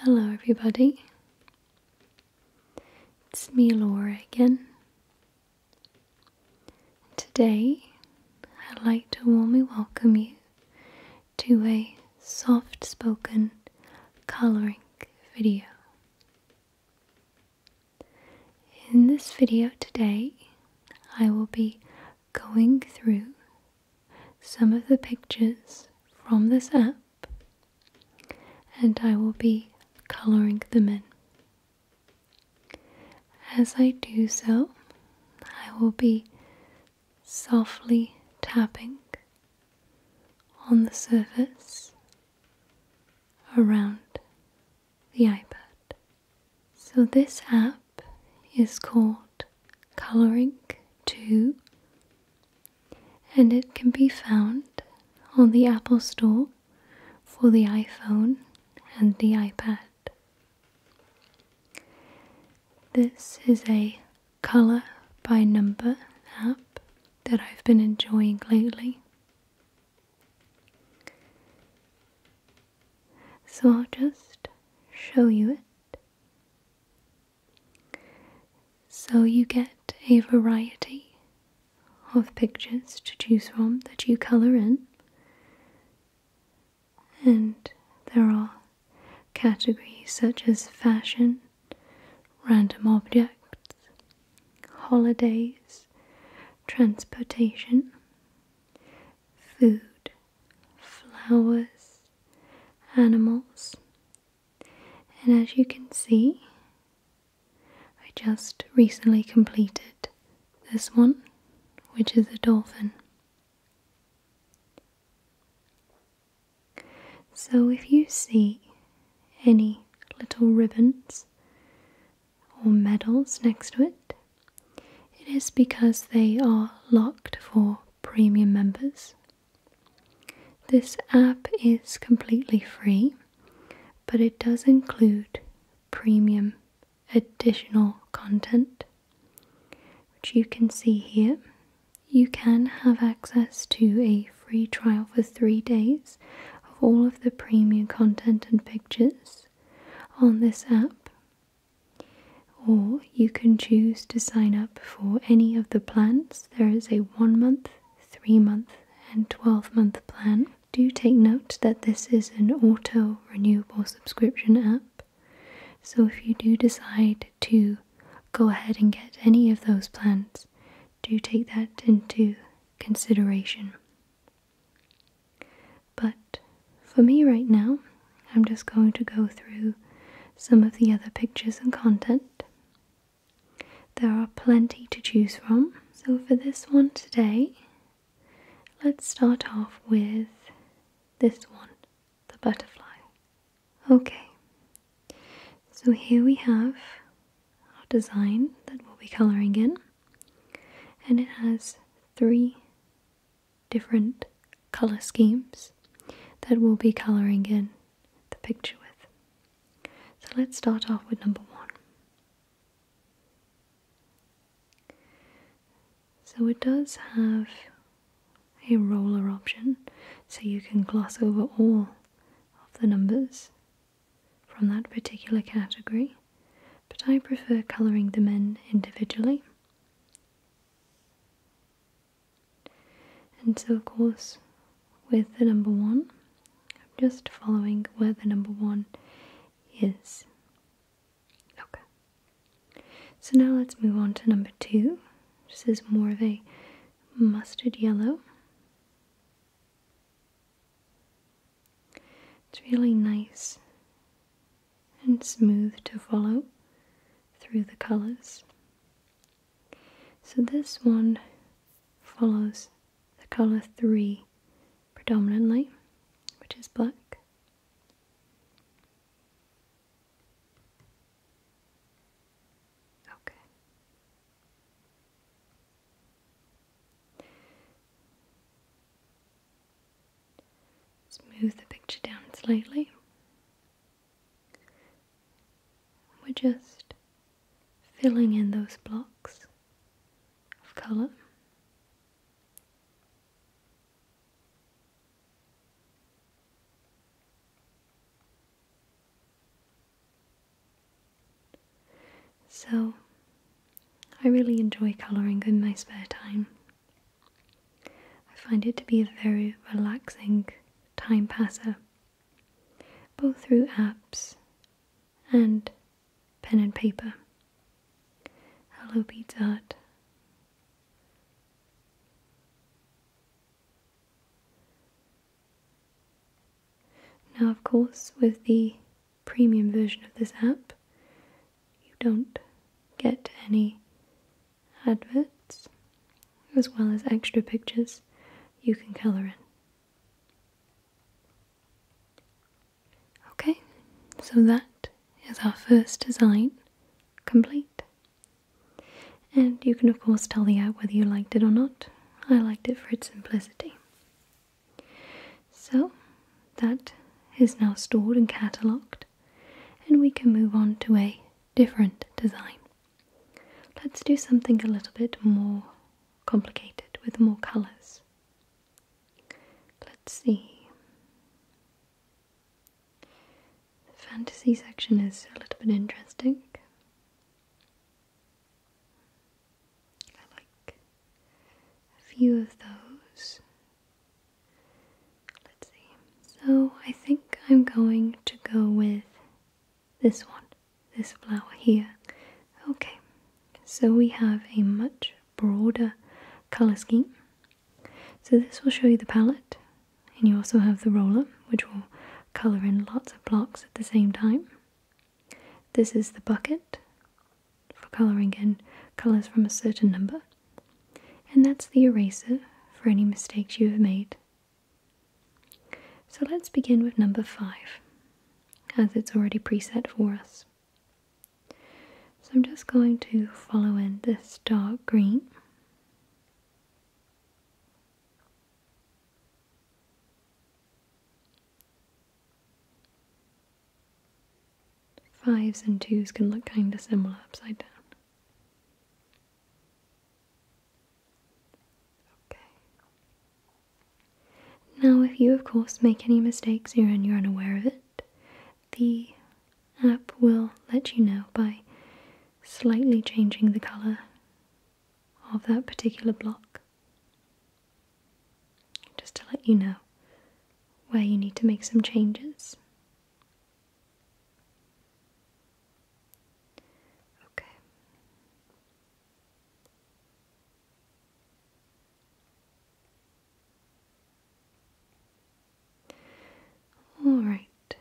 Hello, everybody. It's me, Laura, again. Today, I'd like to warmly welcome you to a soft spoken coloring video. In this video today, I will be going through some of the pictures from this app and I will be colouring them in. As I do so, I will be softly tapping on the surface around the iPad. So, this app is called coloring too, and it can be found on the Apple Store for the iPhone and the iPad. This is a color by number app that I've been enjoying lately. So I'll just show you it. So you get a variety of pictures to choose from that you colour in, and there are categories such as fashion, random objects, holidays, transportation, food, flowers, animals, and as you can see, I just recently completed this one, which is a dolphin. So, if you see any little ribbons or medals next to it, it is because they are locked for premium members. This app is completely free, but it does include premium additional content, which you can see here. You can have access to a free trial for three days of all of the premium content and pictures on this app, or you can choose to sign up for any of the plans. There is a one month, three month, and 12 month plan. Do take note that this is an auto renewable subscription app. So if you do decide to go ahead and get any of those plans, do take that into consideration. But for me right now, I'm just going to go through some of the other pictures and content. There are plenty to choose from. So for this one today, let's start off with this one, the butterfly. Okay, so here we have our design that we'll be colouring in, and it has three different color schemes that we'll be coloring in the picture with. So let's start off with number one. So it does have a roller option, so you can gloss over all of the numbers from that particular category, but I prefer colouring them in individually. And so, of course, with the number one, I'm just following where the number one is. Okay. So now let's move on to number two. This is more of a mustard yellow. It's really nice and smooth to follow through the colors. So this one follows the color 3 predominantly, which is black. Okay. Just move the picture down slightly. We're just filling in those blocks of colour. So, I really enjoy colouring in my spare time. I find it to be a very relaxing time passer, both through apps and pen and paper. Hello, Pizza Art. Now, of course, with the premium version of this app, you don't get any adverts as well as extra pictures you can colour in. Okay, so that is our first design complete. And you can of course tell the app whether you liked it or not. I liked it for its simplicity. So that is now stored and catalogued, and we can move on to a different design. Let's do something a little bit more complicated with more colours. Let's see. The fantasy section is a little bit interesting. I like a few of those. Let's see. So I think I'm going to go with this one, this flower here. Okay, so we have a much broader color scheme. So this will show you the palette, and you also have the roller, which will color in lots of blocks at the same time. This is the bucket, for colouring in colours from a certain number, and that's the eraser for any mistakes you have made. So let's begin with number 5, as it's already preset for us. So I'm just going to follow in this dark green. Fives and twos can look kind of similar upside down. Okay. Now, if you, of course, make any mistakes and you're unaware of it, the app will let you know by slightly changing the colour of that particular block just to let you know where you need to make some changes. Okay. All right. Do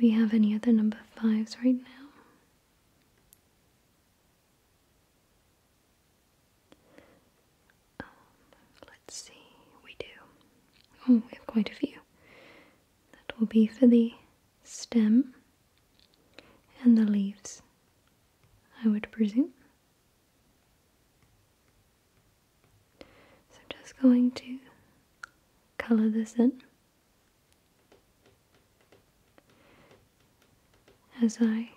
we have any other number fives right now? Um, let's see, we do. Oh, we have quite a few. That will be for the stem and the leaves, I would presume. So, I'm just going to color this in as I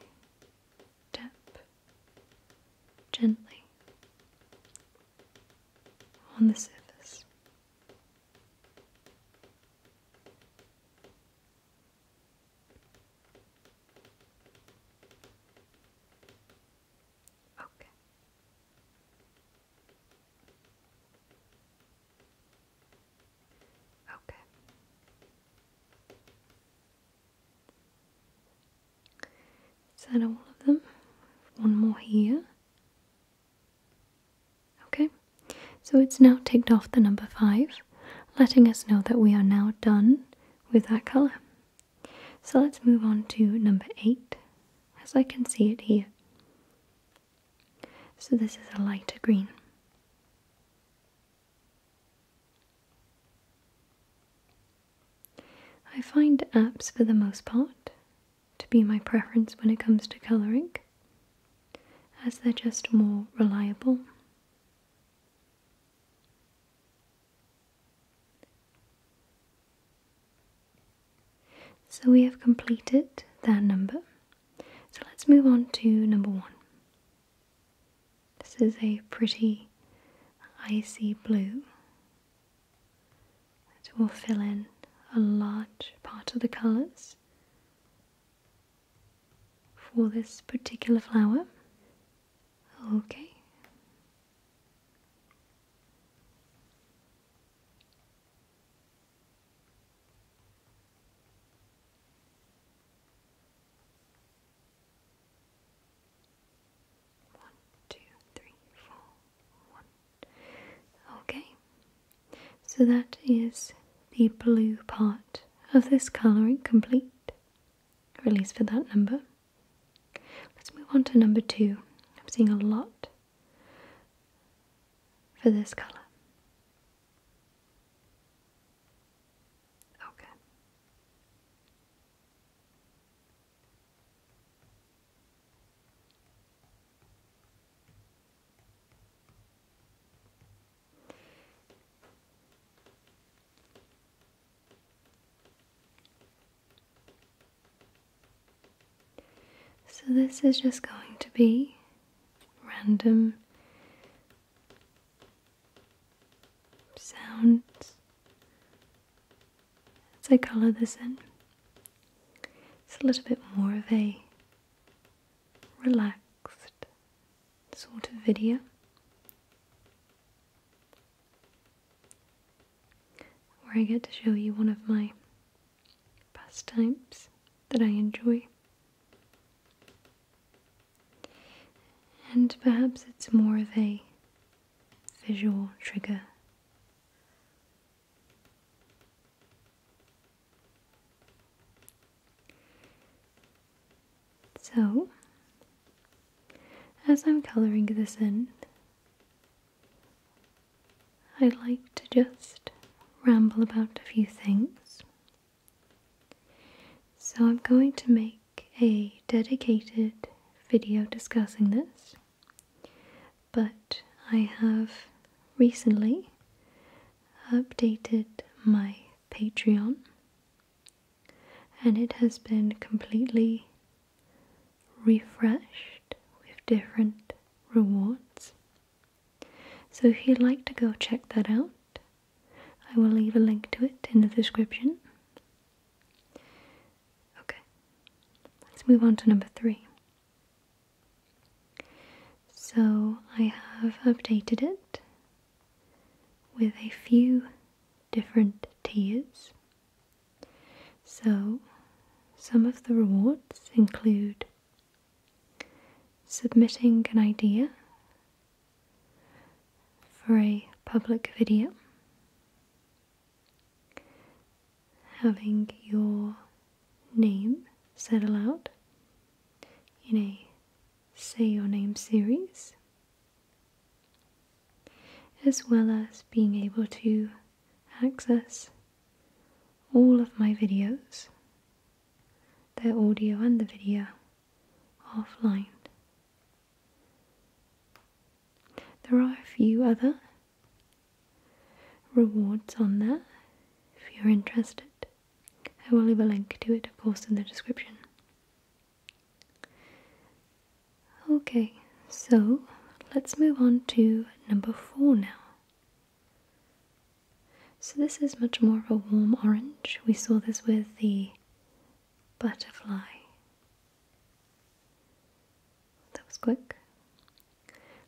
tap gently on the surface. Okay. Okay. Is that all of them? One more here. Okay, so it's now ticked off the number five, letting us know that we are now done with that colour. So let's move on to number eight, as I can see it here. So this is a lighter green. I find apps for the most part to be my preference when it comes to colouring as they're just more reliable. So we have completed that number so let's move on to number one. This is a pretty icy blue that will fill in a large part of the colours for this particular flower. Okay. One, two, three, four, one. Okay, so that is the blue part of this colouring complete, at least for that number. Let's move on to number two. I'm seeing a lot for this colour. Okay. So, this is just going to be random sounds as I colour this in. It's a little bit more of a relaxed sort of video. Where I get to show you one of my pastimes that I enjoy. And perhaps it's more of a visual trigger. So, as I'm colouring this in, I like to just ramble about a few things. So I'm going to make a dedicated video discussing this, but I have recently updated my Patreon and it has been completely refreshed with different rewards. So if you'd like to go check that out, I will leave a link to it in the description. Okay, let's move on to number three. So I have updated it with a few different tiers. So some of the rewards include submitting an idea for a public video, having your name said aloud in a Say Your Name series, as well as being able to access all of my videos, their audio and the video, offline. There are a few other rewards on there if you're interested. I will leave a link to it, of course, in the description. Okay, so let's move on to number four now. So this is much more of a warm orange. We saw this with the butterfly. That was quick.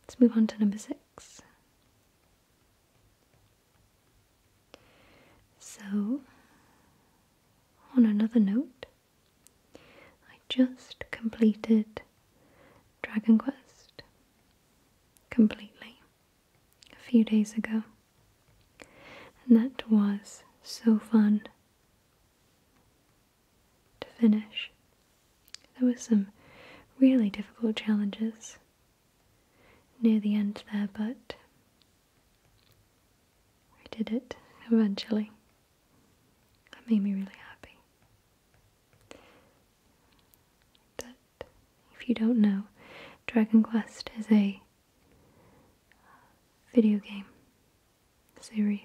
Let's move on to number six. So, on another note, I just completed Dragon Quest completely a few days ago, and that was so fun to finish. There was some really difficult challenges near the end there, but I did it eventually. That made me really happy if you don't know, Dragon Quest is a uh, video game series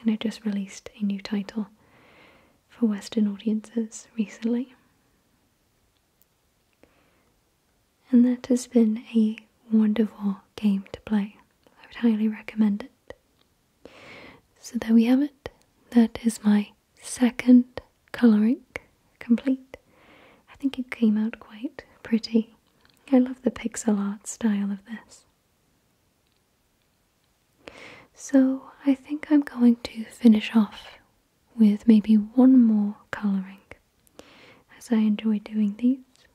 and it just released a new title for Western audiences recently. And that has been a wonderful game to play. I would highly recommend it. So there we have it. That is my second colouring complete. I think it came out quite pretty. I love the pixel art style of this. So I think I'm going to finish off with maybe one more colouring as I enjoy doing these.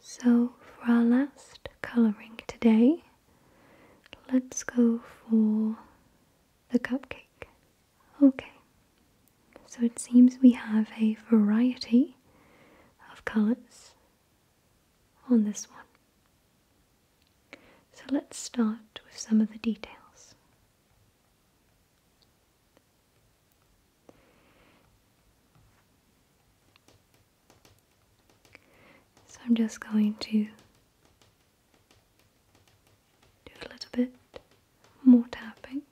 So for our last colouring today, let's go for the cupcake. Okay, so it seems we have a variety of colours on this one. So let's start with some of the details. So I'm just going to do a little bit more tapping.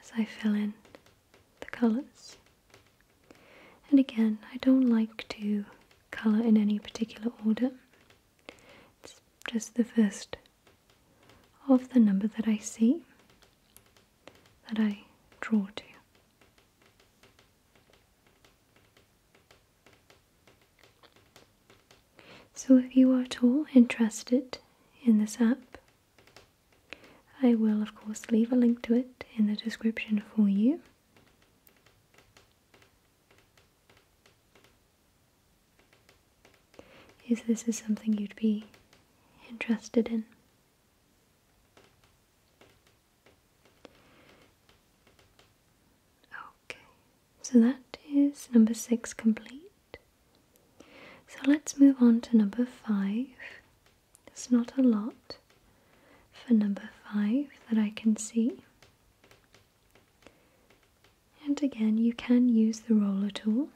As I fill in the colours. And again, I don't like to colour in any particular order, it's just the first of the number that I see that I draw to. So, if you are at all interested in this app, I will, of course, leave a link to it in the description for you is this is something you'd be interested in. Okay, so that is number six complete. So let's move on to number five. There's not a lot for number five that I can see. And again, you can use the roller tool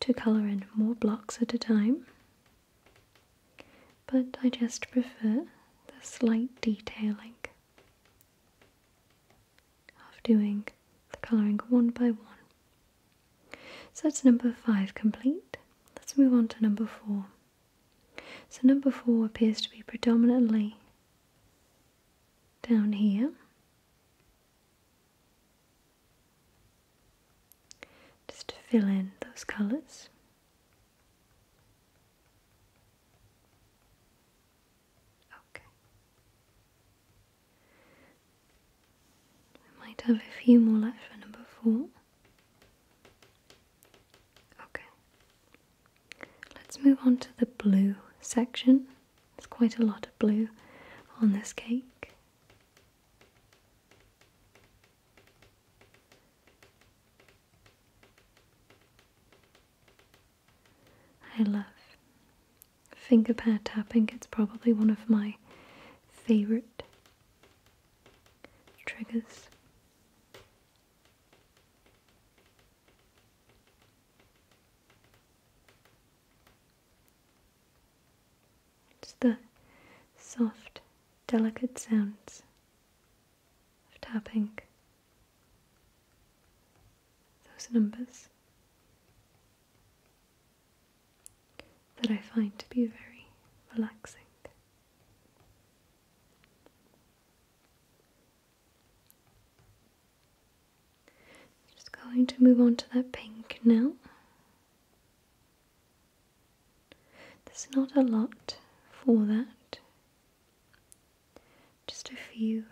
to colour in more blocks at a time, but I just prefer the slight detailing of doing the colouring one by one. So that's number five complete. Let's move on to number four. So, number four appears to be predominantly down here. Just to fill in those colours. Okay. We might have a few more left for number four. Okay. Let's move on to the blue section. There's quite a lot of blue on this cake. I love finger pad tapping, it's probably one of my favorite triggers. It's the soft, delicate sounds of tapping those numbers that I find to be very relaxing. Just going to move on to that pink now. There's not a lot for that, just a few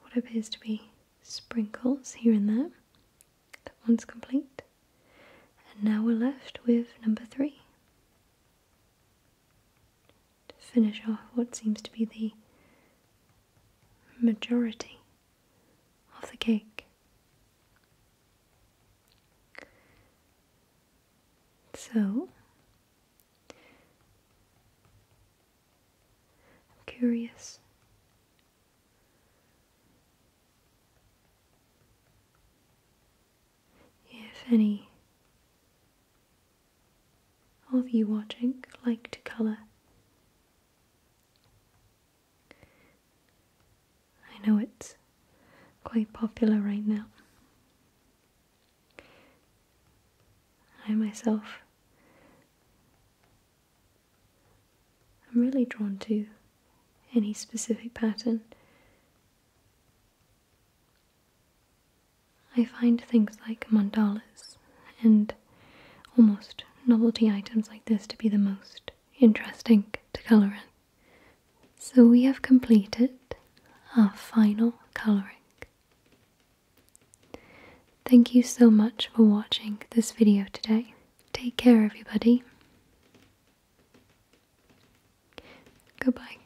what appears to be sprinkles here and there. That one's complete. And now we're left with number three to finish off what seems to be the majority of the cake. So, I'm curious. If any all of you watching like to colour. I know it's quite popular right now. I myself i am really drawn to any specific pattern. I find things like mandalas and almost novelty items like this to be the most interesting to colour in. So we have completed our final colouring. Thank you so much for watching this video today. Take care everybody. Goodbye.